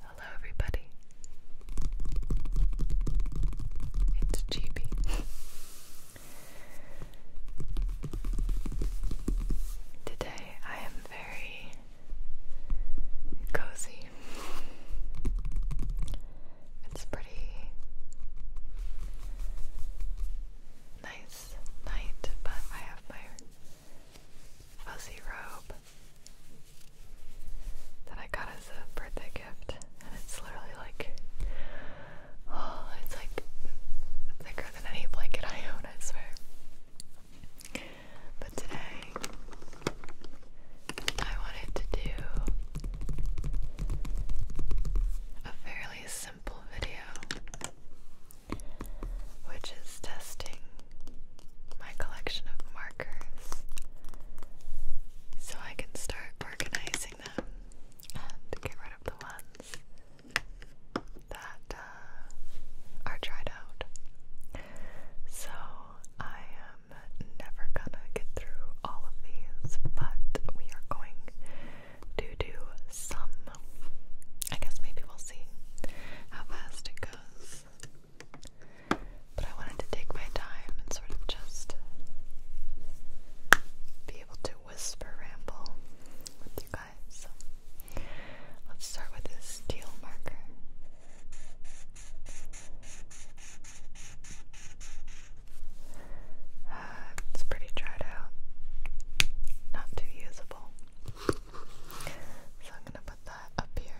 Hello, everybody. It's GB. Today I am very cozy. It's pretty nice night, but I have my fuzzy robe that I got as a birthday gift, and it's literally like, oh, it's like thicker than any blanket I own, I swear. But today, I wanted to do a fairly simple video which is testing my collection of markers so I can start organizing them and get rid of the ones that uh, are dried out. So I am never gonna get through all of these, but we are going to do some. I guess maybe we'll see how fast it goes. But I wanted to take my time and sort of just be able to whisper ramble with you guys. let's start with this teal marker. Uh, it's pretty dried out, not too usable. So I'm gonna put that up here.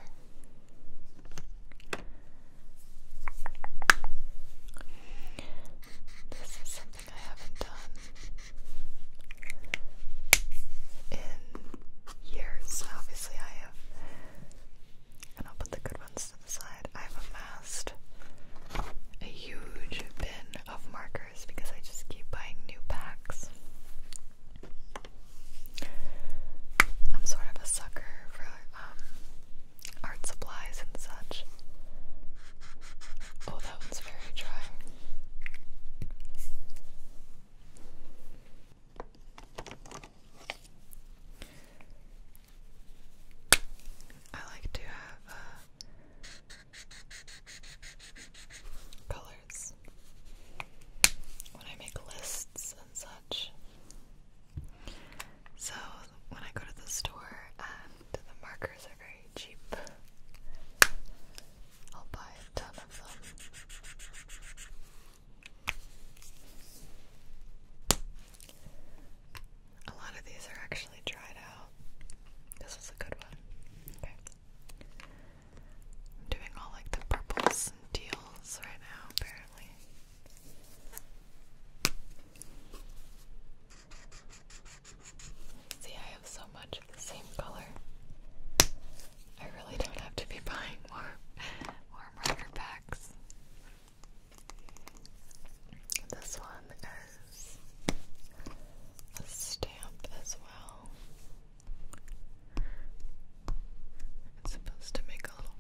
This is something I haven't done in years. Obviously, I have. And I'll put the good ones to the side. I've amassed a huge bin of markers because I just keep buying new packs. I'm sort of a sucker for um, art supplies and such. Oh, that one's very dry. I like to have uh, colors when I make lists and such. So when I go to the store and the markers are very cheap, I'll buy a A lot of these are actually dried out. This was a good one. I'm doing all like the purples and deals right now, apparently. See, I have so much of the same color. I really don't have to be buying more warm rubber packs. This one is a stamp as well. It's supposed to make a little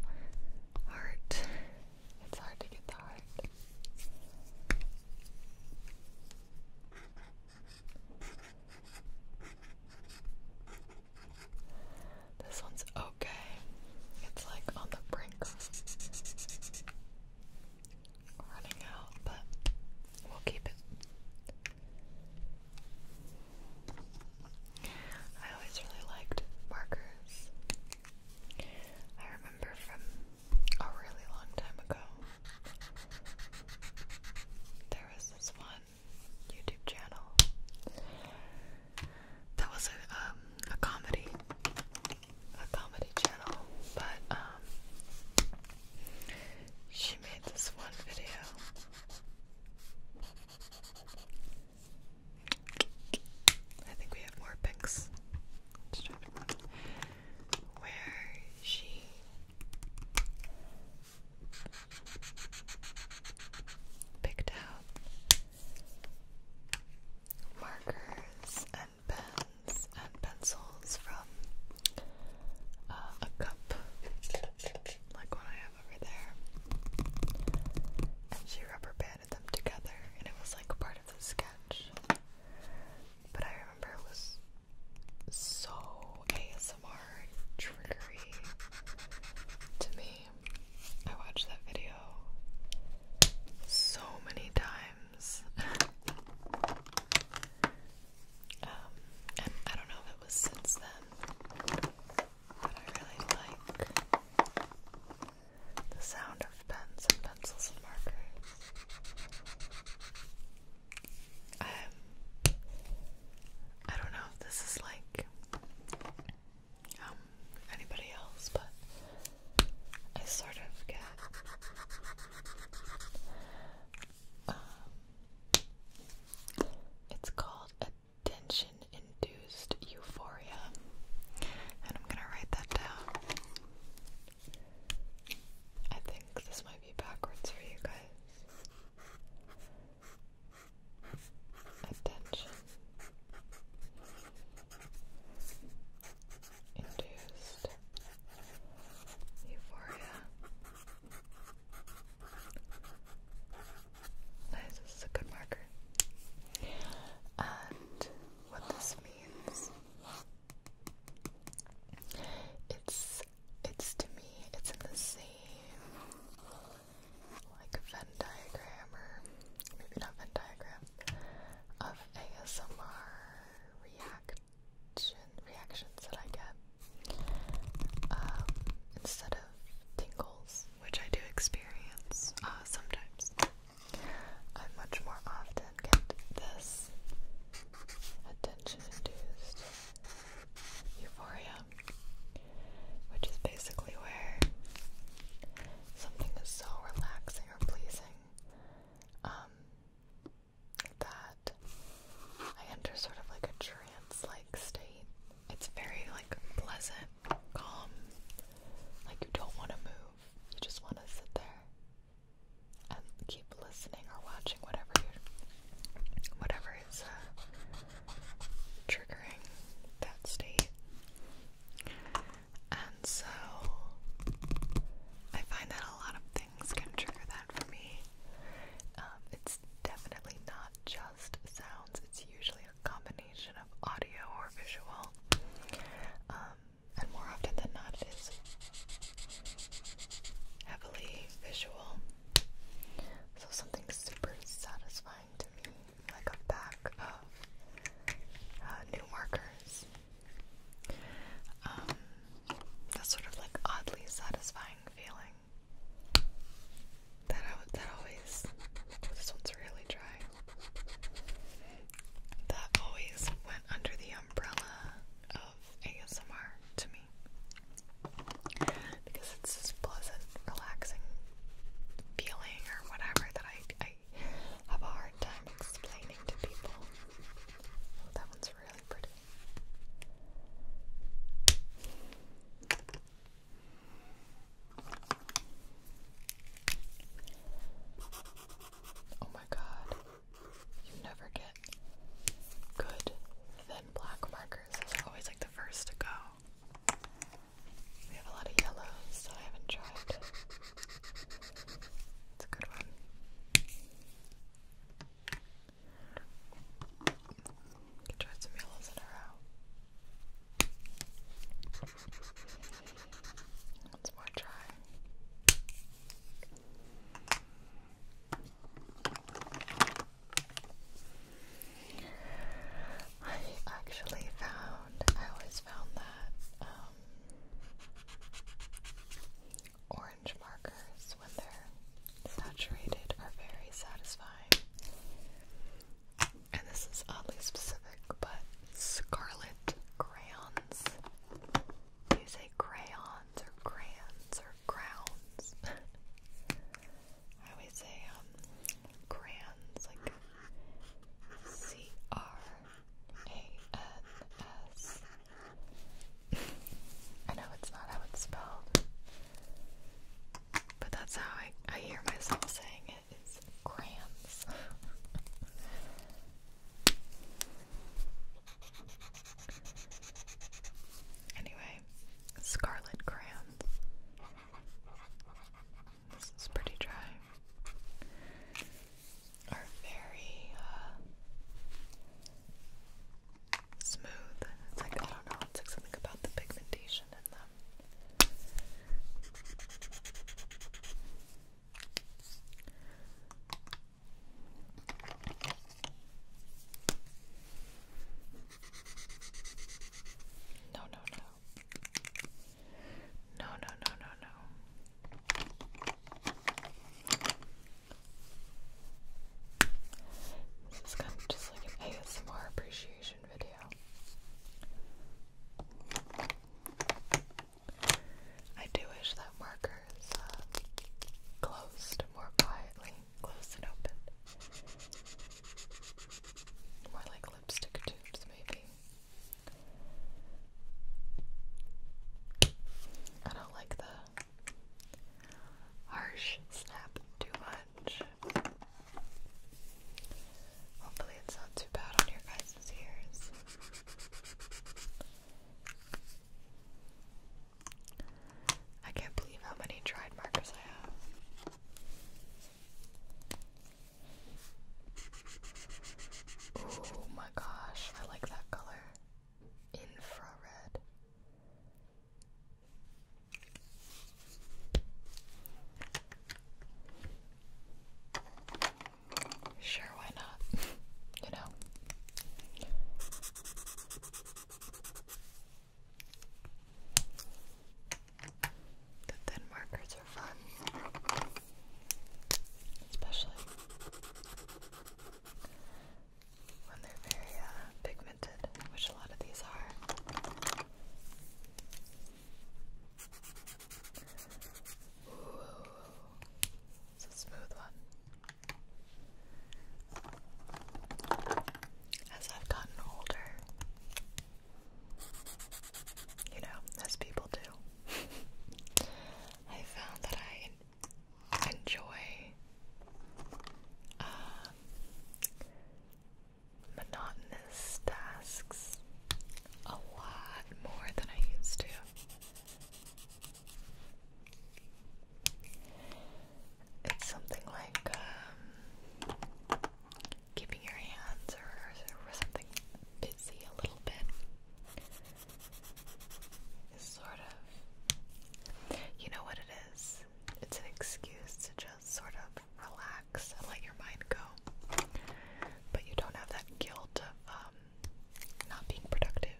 heart. It's hard to get the heart. This one's okay. It's like on the brink running out, but we'll keep it. I always really liked markers. I remember from a really long time ago, there was this one YouTube channel that was a um, a comedy, a comedy channel, but um, she made this one video. I think we have more pics. Where she picked out markers and pens and pencils from uh, a cup like what I have over there. And she rubber banded them together, and it was like part of the sketch. But I remember it was so ASMR trickery to me. I watched that video so many times. Um, and I don't know if it was since then, but I really like the sound of pens and pencils and markers. Um, I don't know if this is like um anybody else, but I sort of get um, it's called attention induced euphoria. And I'm gonna write that down. I think this might be backwards for you guys. Attention induced Euphoria. Nice, this is a good marker. And what this means it's it's to me, it's in the same like Venn diagram or maybe not Venn diagram of ASMR react and reactions that I get um, instead of tingles, which I do experience uh, sometimes. I much more often get this attention-induced euphoria, which is basically where something is so relaxing or pleasing um, that I enter sort of like a trance like state. It's very like pleasant, calm, like you don't want to move, you just want to sit there and keep listening or watching whatever you whatever is uh, triggering that state. And so I find that a lot of things can trigger that for me. Um, it's definitely not just sounds, it's usually a combination of audio or visual. Um, and more often than not, it is heavily visual. So, something super satisfying to me, like a pack of uh, new markers. Um, that's sort of like oddly satisfying feeling. That I, that always. this one's really dry. That always went under the umbrella of ASMR to me because it's this pleasant, relaxing feeling or whatever that I I have a hard time explaining to people. that one's really Oh my god. You never get good thin black markers. are always like the first to go. We have a lot of yellows that I haven't tried. It's a good one. You tried some yellows in a row. let more try. I actually found, I always found that um, markers, when they're saturated, are very satisfying. And this is oddly specific, but scarlet crayons. Do you say crayons or crayons or crowns? I always say um crayons, like C R A N S I know it's not how it's spelled, but that's how I, I hear myself saying it. It's crayons. anyway, scarlet crayons. This is pretty dry. Are very uh, smooth. It's like, I don't know, it's like something about the pigmentation in them. No, no, no. No, no, no, no, no. This is kind of just like an ASMR appreciation video. I do wish that markers uh, closed more quietly, closed and open. More like lipstick tubes, maybe. I don't like the Harsh snap too much. Hopefully, it's not too bad on your guys' ears. I can't believe how many tried markers I have. Oh my gosh, I like that color. Infrared. Sure, why not? you know. The thin markers are fun. Especially when they're very uh, pigmented, which a lot of these are. it's a smooth one. As I've gotten older, you know, as people do, I found that I enjoy um, monotonous tasks a lot more than I used to. It's something like um, keeping your hands or, something busy a little bit. sort of. You know what it is? it's an excuse to just sort of relax and let your mind go. But you don't have that guilt of um, not being productive.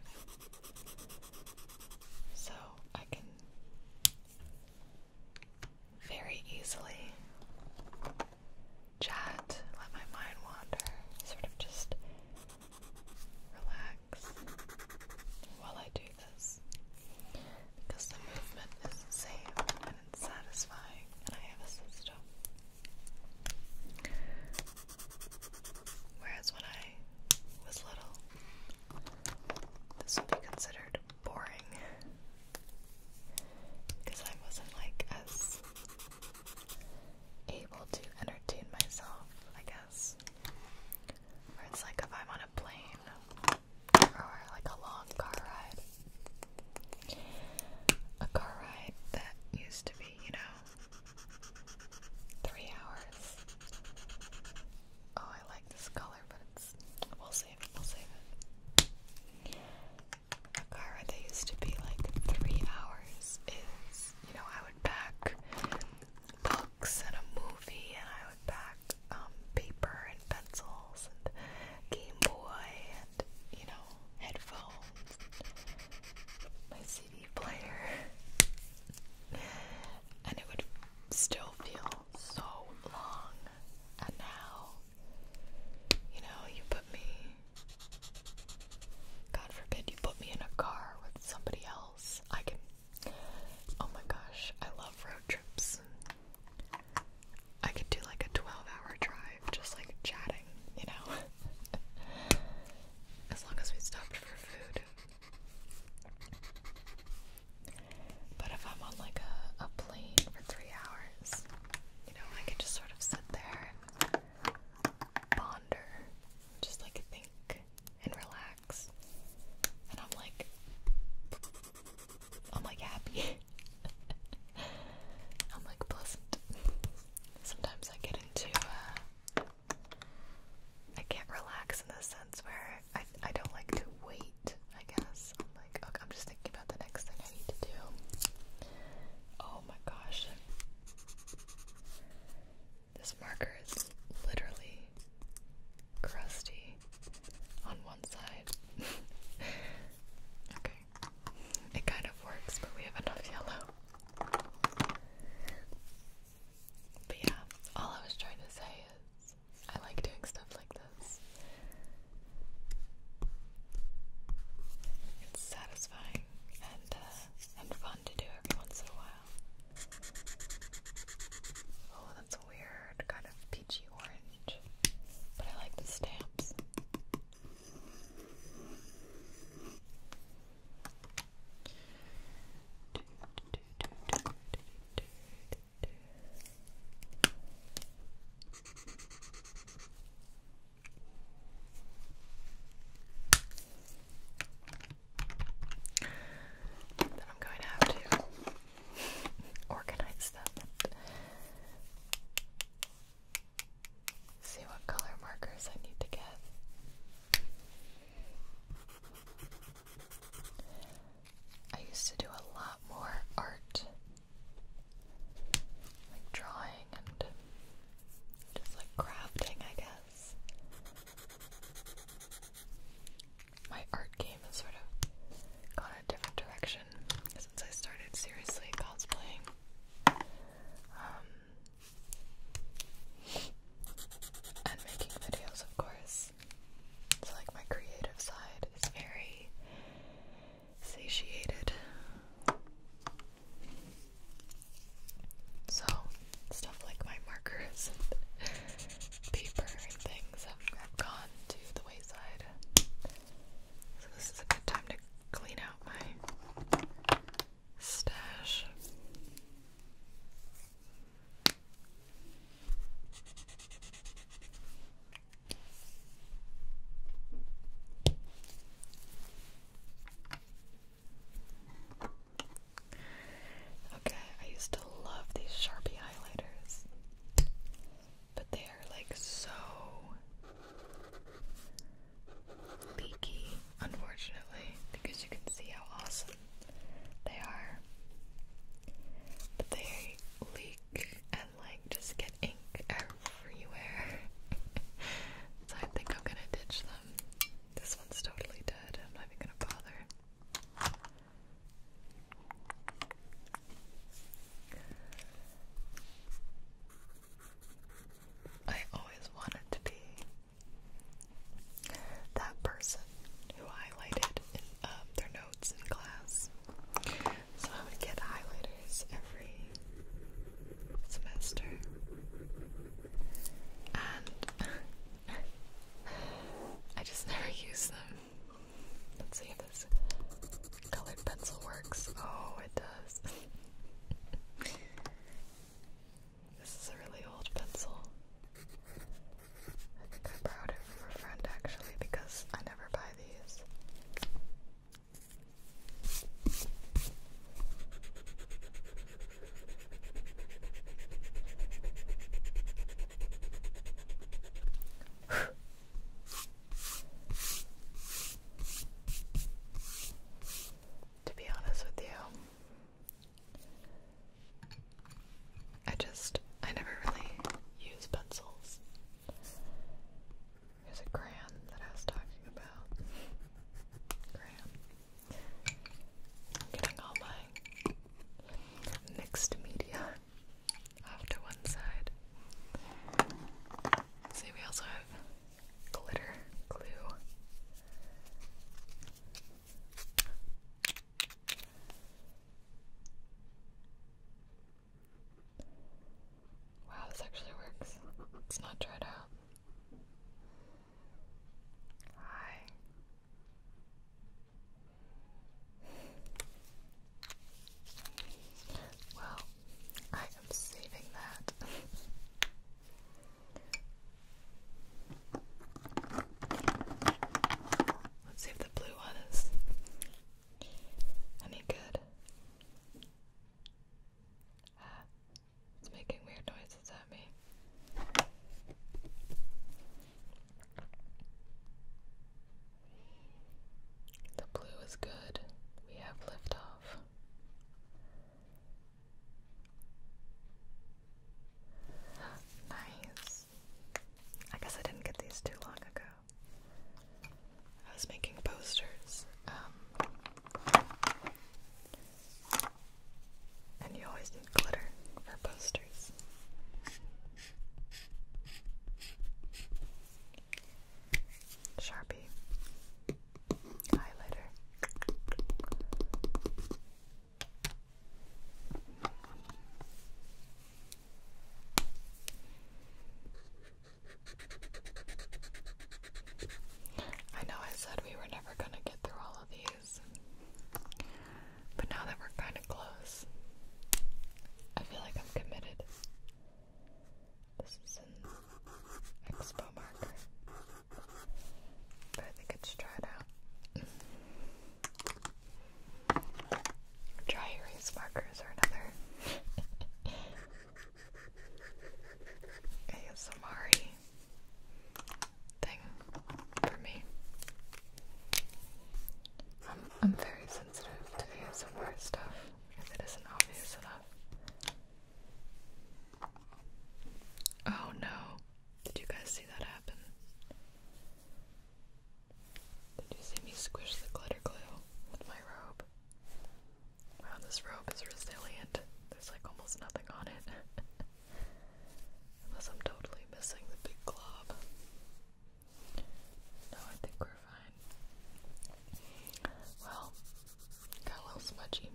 So I can very easily chat, let my mind wander, sort of just relax while I do this because the movement is safe and it's satisfying, and I have a system. Whereas when I was little, this would be considered boring because I wasn't like as able to entertain myself, I guess. Where it's like if I'm a plane or like a long car ride. A car ride that used to be, you know, three hours. Oh, I like this color, but it's. We'll save it, we'll save it. A car ride that used to be like three hours is, you know, I would pack books and a movie, and I would pack um, paper and pencils and Game Boy and you know headphones, my CD player, and it would still feel so long. And now, you know, you put me. God forbid you put me in a car with somebody else. I can Oh my gosh, I love road trips. I could do like a 12 hour drive just like chatting, you know? as long as we stopped for food. But if I'm on like a, a plane for three hours, you know, I could just sort of sit there ponder, just like think and relax. And I'm like, I'm like happy. I'm like pleasant. Sometimes I get into, uh, I can't relax in the sense where I, I don't like to wait, I guess. I'm like, okay, I'm just thinking about the next thing I need to do. Oh my gosh. This marker is literally crusty on one side. okay. It kind of works, but we have enough yellow. But yeah, all I was trying to say is I like doing stuff like this. It's satisfying and uh, and fun to do every once in a while. Oh, that's a weird kind of peachy orange. But I like the stamps. Then I'm going to have to organize them. See what color markers I need to get. I used to do a lot more art, like drawing and just like crafting, I guess my art game has sort of gone a different direction since I started seriously cosplaying. Um, and making videos, of course. So, like, my creative side is very satiated. So, stuff like my markers and paper and things have, have gone to the wayside. So this is a good time to clean out my stash. Okay, I used to love these Sharpie highlighters, but they are like so leaky, unfortunately, because you can see how awesome they are. But they leak and like just get ink everywhere. so I think I'm gonna ditch them. This one's totally dead. I'm not even gonna bother. I always wanted to be that person who highlighted um, their notes in class. So I would get highlighters every semester. And I just never use them. Let's see if this colored pencil works. Oh, it does. this is a really old pencil. I think I borrowed it from a friend actually because I never buy these to be honest with you, I just, I never really use pencils. There's a crayon that I was talking about. Crayon getting all my mixed media off one side. See, we also have glitter glue. Wow, this actually works. It's not dried out. Hi. Well, I am saving that. Let's see if the blue one is any good. Ah, it's making weird noises at me. The blue is good. We have liftoff. Nice. I guess I didn't get these too long ago. I was making posters. Um, and you always glitter for posters. Sharpie. Highlighter. I know I said we were never going to get through all of these, but now that we're kind of close, I feel like I'm committed. This is an expo marker, but I think it's dried out. Dry erase markers are another. ASMR thing for me. I'm, I'm very sensitive to the ASMR stuff because it isn't obvious enough. Oh no. Did you guys see that happen? Did you see me squish the glitter glue with my robe? Wow, this robe is resilient. There's like almost nothing on it. Unless I'm totally missing the big glob. No, I think we're fine. Well, got a little smudgy.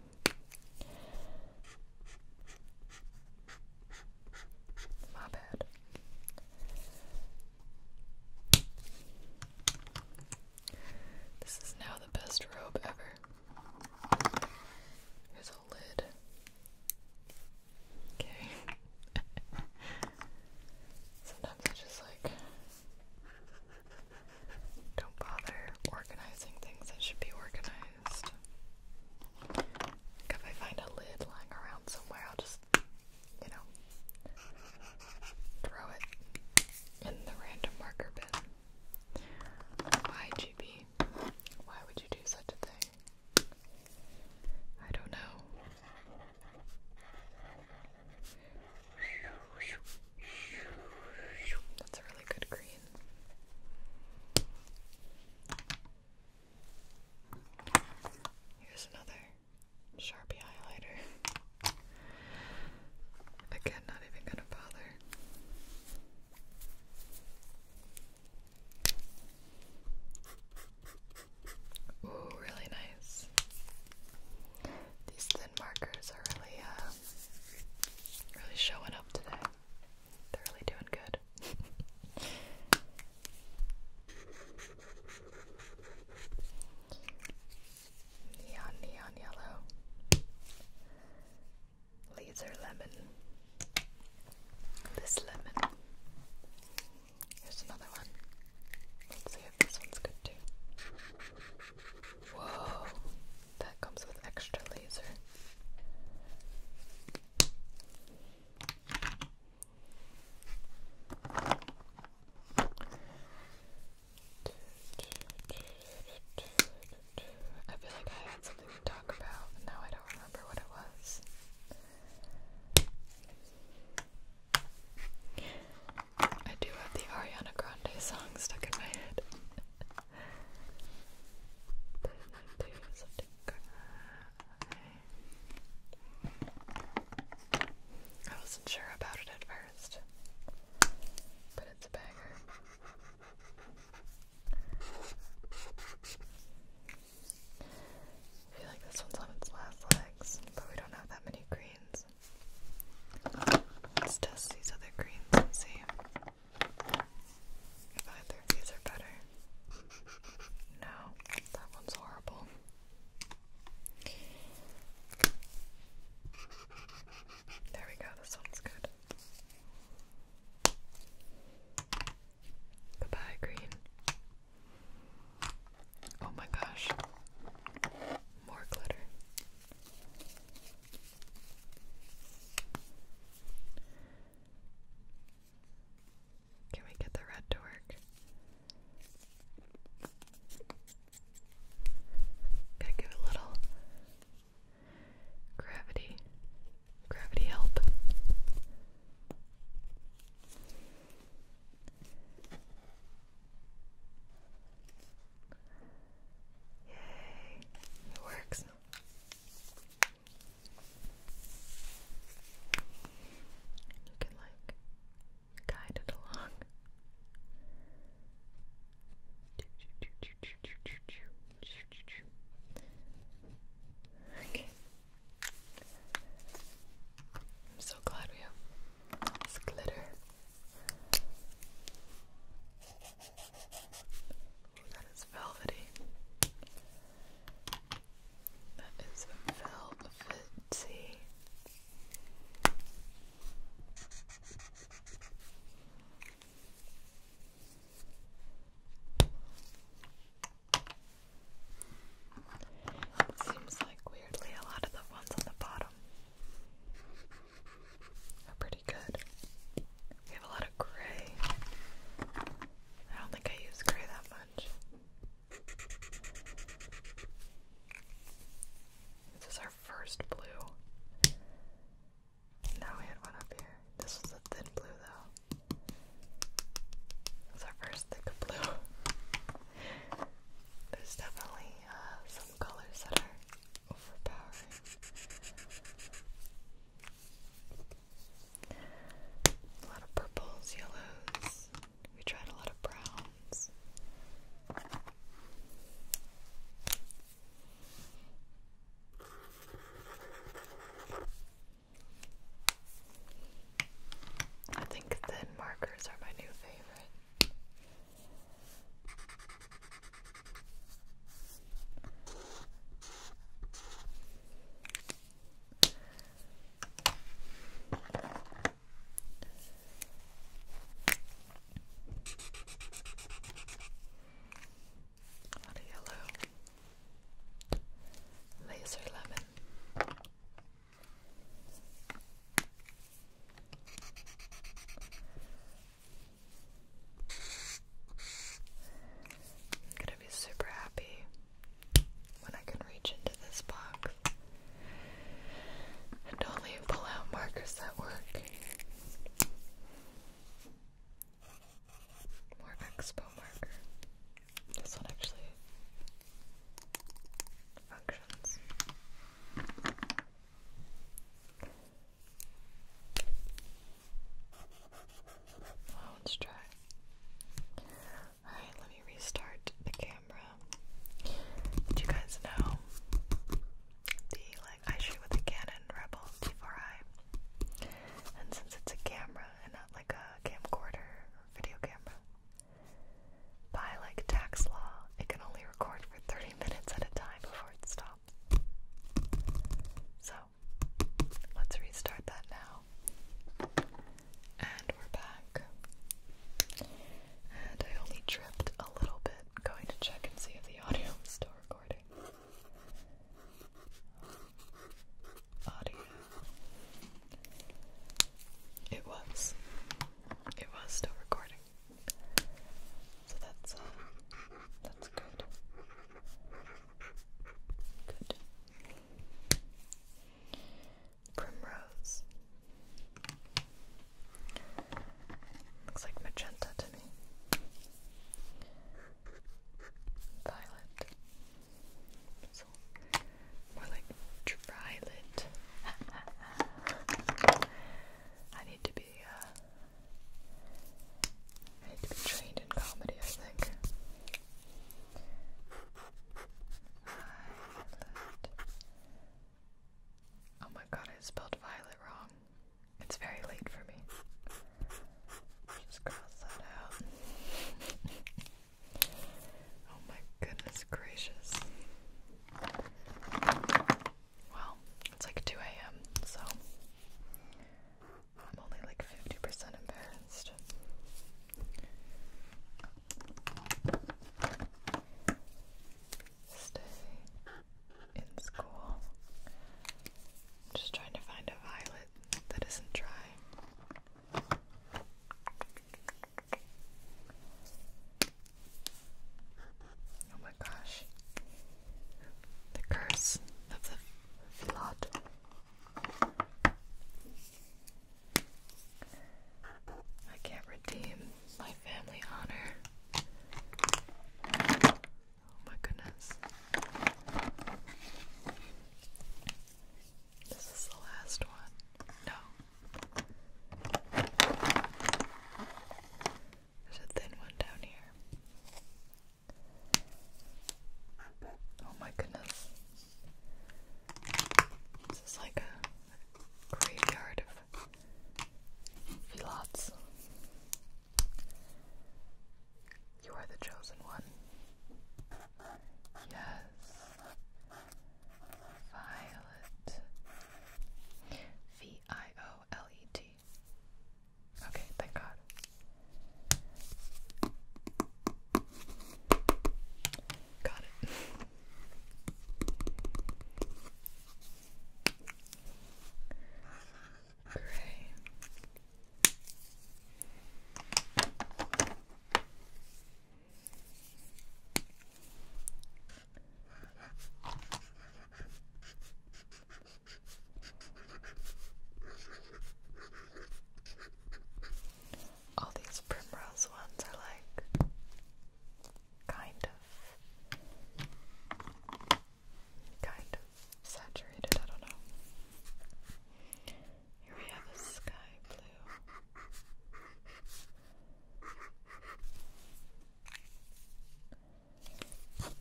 My bad. This is now the best robe ever. Sometimes I just like don't bother organizing things that should be organized. Like if I find a lid lying around somewhere, I'll just, you know, throw it in the random marker bin. Why, GB? Why would you do such a thing? I don't know. That's a really good green. Here's another Sharpie highlighter. Again, not even gonna bother. Ooh, really nice. These thin markers are really, uh, really showing up today. They're really doing good. neon, neon yellow. Laser lemon. This lemon. Here's another one. Let's see if this one's good too. Whoa! That comes with extra laser. I feel like I had something to talk about, and now I don't remember what it was. I do have the Ariana Grande song stuck in my head. I wasn't sure about it at first, but it's a banger. I feel like this one's on its last legs, but we don't have that many greens. Let's test these other greens and see if either of these are better. No, that one's horrible. There we go, this one's good. Goodbye, green. Oh my gosh. More glitter. Can we get the red to work? Gotta give a little gravity. Gravity help. Yay, it works. You can like guide it along. Okay. I'm so glad we have this glitter. that is velvety. That is velvety. It seems like weirdly a lot of the ones on the bottom are pretty good. We have a lot of gray. I don't think I use gray that much. This is our first blue. Now we had one up here. This was a thin blue though. So first the blue. There's definitely uh, some colors that are overpowering. A lot of purples, yellows. We tried a lot of browns. I think thin markers are my new favorite. A lot of yellow. Laser lemon. I'm gonna be super happy when I can reach into this box and only pull out markers that work. More expo marker this one actually functions. let's try. Alright, let me restart the camera. Did you guys know the like I shoot with a Canon Rebel T4i? And since it's a camera and not like a camcorder video camera. By like tax law, it can only record for 30 minutes at a time before it stops. So, let's restart that now. And we're back. And I only tripped a little bit going to check and see if the audio is still recording body. It was. It was still recording. So that's, um, that's good. Good. Primrose. Looks like magenta to me. Violet. More like dry I need to be uh, I need to be trained in comedy, I think. Violet. Oh my god, I spelled violet wrong. It's very late for me. cross that out. Oh my goodness gracious. Well, it's like 2 a.m., so I'm only like 50% embarrassed. Stay in school. just trying to find a violet that isn't dry. Oh my gosh. The curse of the flood. I can't redeem my family honor. Oh my goodness. This is the last one. No. There's a thin one down here. Oh my goodness. This is like a graveyard of filots. You are the chosen one. Yes. Violet. V I O L E T. Okay, thank God. Got it. Gray. All these primrose ones are like kind of kind of saturated, I don't know. Here we have a sky blue.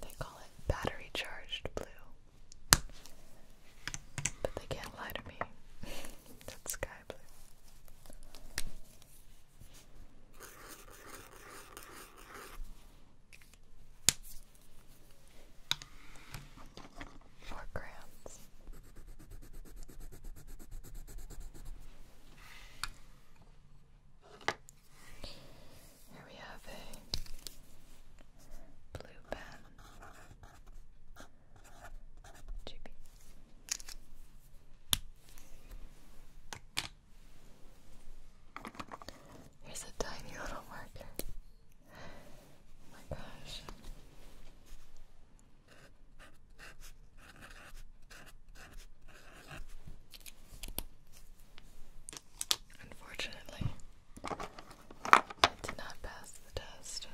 They call it battery charged blue. But they can't lie to me. That's sky blue. Four grams. Here we have a blue pen. GB. Here's a tiny little marker. Oh my gosh. Unfortunately, it did not pass the test.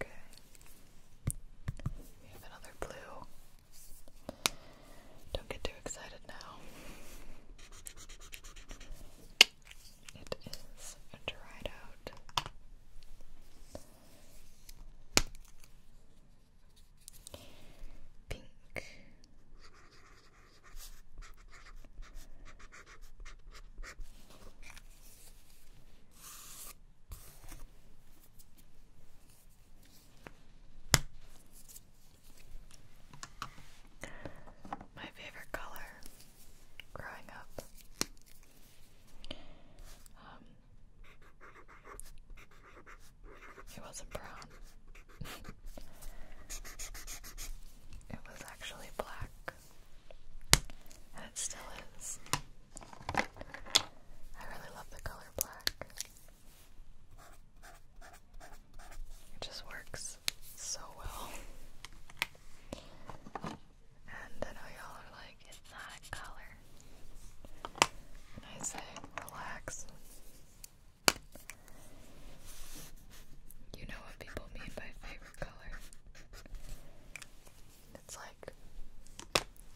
Okay. We have another blue. Don't get too excited now. It is dried out. Pink. My favorite color growing up. Um, it wasn't brown. it was actually black. And it still is. I really love the color black. It just works so well. And I know y'all are like, it's not a color. I say, relax. You know what people mean by favorite color. It's like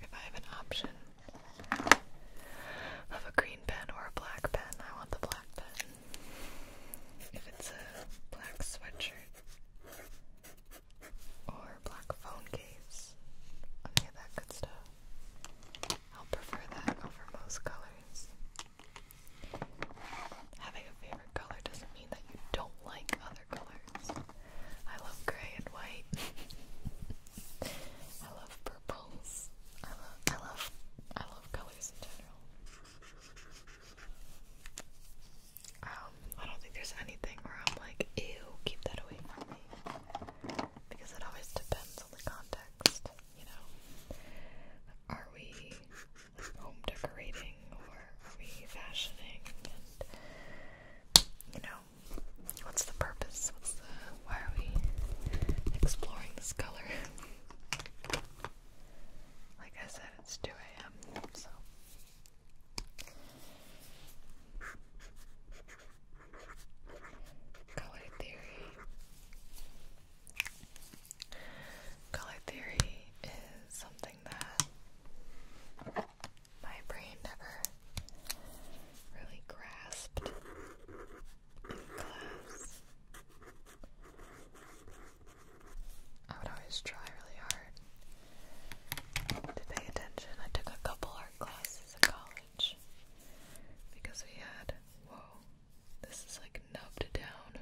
if I have an option of a green pen or a black pen, I want the black pen. If it's a black sweatshirt or black phone case, any of that good stuff, I'll prefer that over most colors. Having a favorite color doesn't mean that you don't like I love gray and white. I love purples. I love I love I love colors in general. Um, I don't think there's anything where I'm like, ew, keep that away from me. Because it always depends on the context, you know. Are we home decorating or refashioning and you know what's the purpose what's the why are we exploring this color like I said it's 2 a.m. so color theory Color theory is something my brain never really grasped I would always try really hard to pay attention. I took a couple art classes in college because we had, whoa, this is like nubbed down.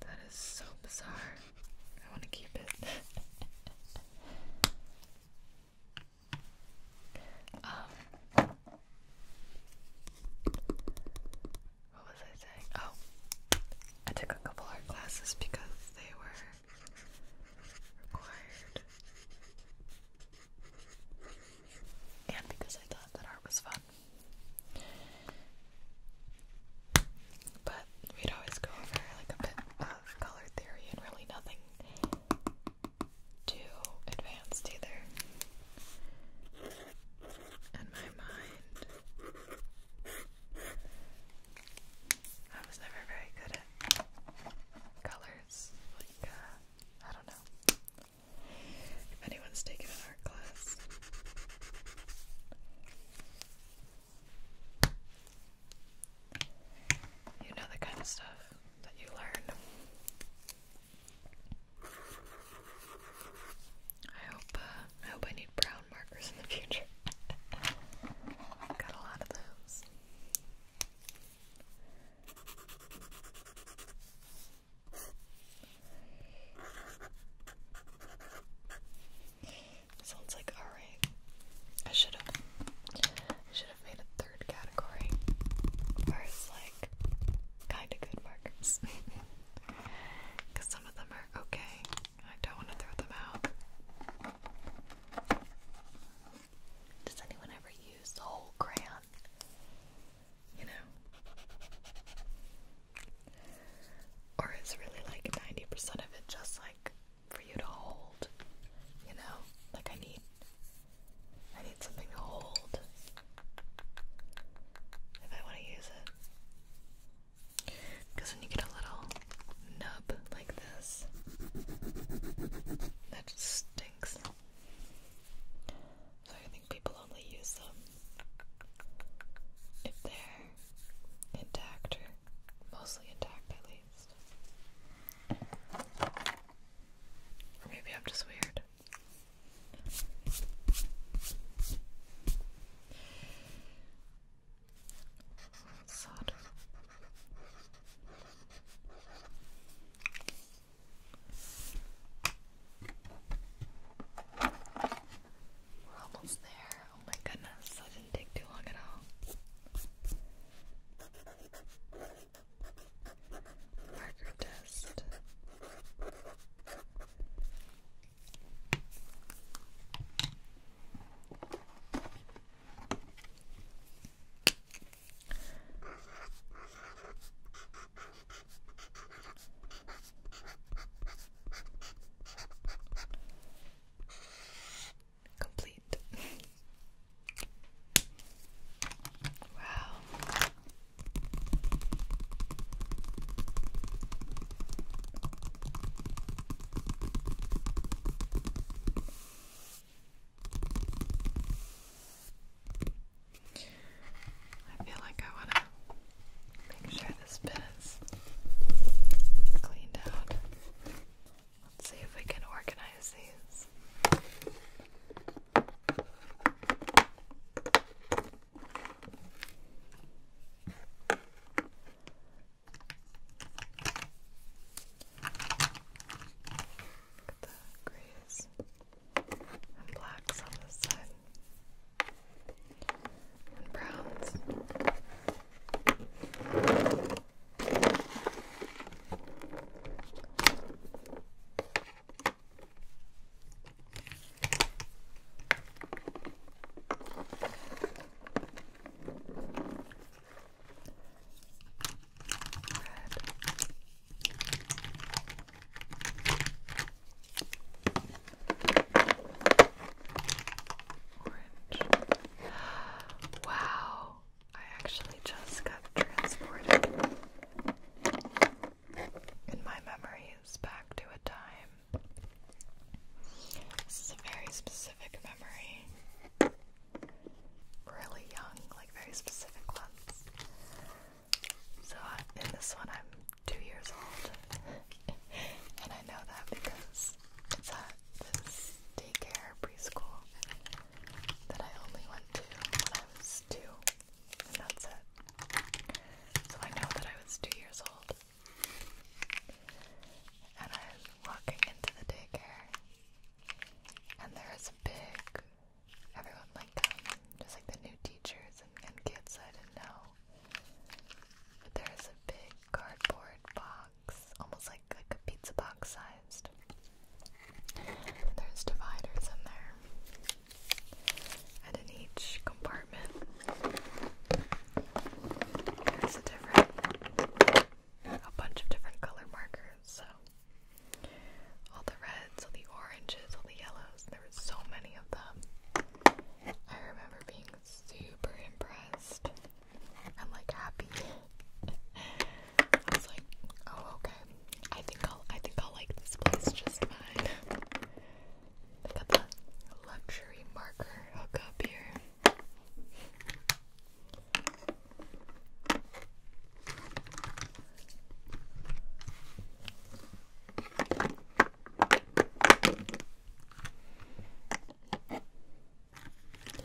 That is so bizarre. I want to keep it. Um, what was I saying? Oh, I took a couple art classes because they were required, and because I thought that art was fun. But we'd always go over like a bit of color theory and really nothing too advanced either. And my mind I was never very good at colors. Like uh, I don't know. If anyone's taken an art class. You know the kind of stuff that you learn. I hope uh, I hope I need brown markers in the future. Got a lot of those. Sounds like alright. I should have should have made a third category where like kinda good markers. Cause some of them are okay. I don't want to throw them out. Does anyone ever use whole crayon? you know? Or is really like 90% of it just like for you to hold, you know? Like I need, I need something to hold if I want to use it. Because when you get a little nub like this, that just stinks. So I think people only use them if they're intact or mostly intact at least. Or maybe I'm just weird. Solder. We're almost there. Oh my goodness, that didn't take too long at all. Marker test. Complete. wow. I feel like I want to make sure this bit is cleaned out. Let's see if we can organize these. Look at the grease blacks on this side, and browns. Red. Orange. Wow, I actually just got transported in my memories back to a time. This is a very specific memory. Really young, like very specific ones. So I, in this one, I'm two years old, and I know that because it's a daycare preschool that I only went to when I was two, and that's it. So I know that I was two years old, and I'm walking into the daycare, and there is a big everyone like them, just like the new teachers and, and kids I didn't know. But there is a big cardboard box, almost like, like a pizza box sized. there's dividers in there. And in each compartment, there's a different, a bunch of different color markers. So all the reds, all the oranges, all the yellows. There were so many of them. I remember being super impressed and like happy. I was like, oh okay. I think I'll I think I'll like this place just fine. They got the luxury marker hook up here. Yeah,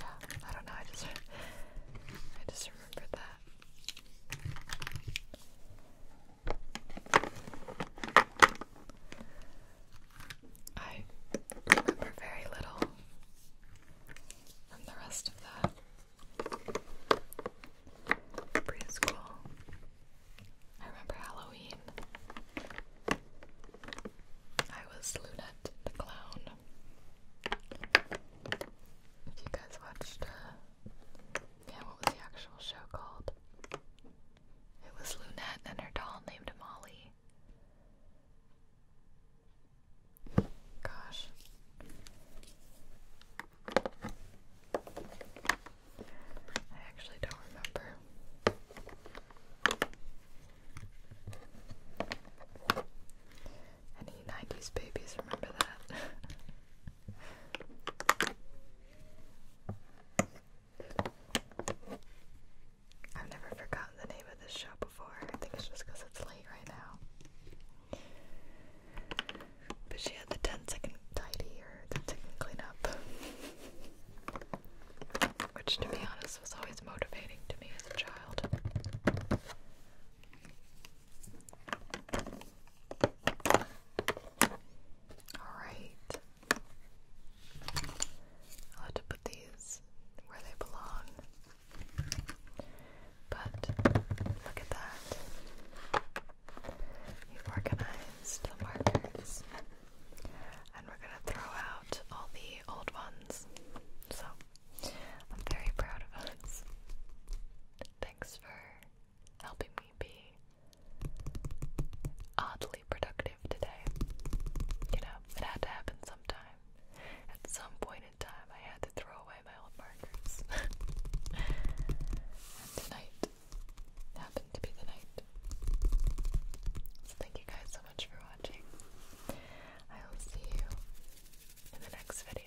I don't know. I just I just remember that. I remember very little from the rest of that preschool. I remember Halloween. I was Lunette the Clown. If you guys watched, uh, yeah, what was the actual show called? It was Lunette and her doll named Molly. Gosh. I actually don't remember. Any 90s babies remember that? I've never forgotten the name of this show before. I think it's just because it's late right now. But she had the 10 second tidy or 10 second up, Which, to be honest, was always motivating to me as a child. Alright. i have to put these where they belong. But look at that. You've organized the markers. And we're going to throw out all the old ones. So, I'm very proud of us. Thanks for helping me be oddly productive today. You know, it had to happen sometime. At some point in time, I had to throw away my old markers. tonight, happened to be the night. So thank you guys so much for watching. I will see you in the next video.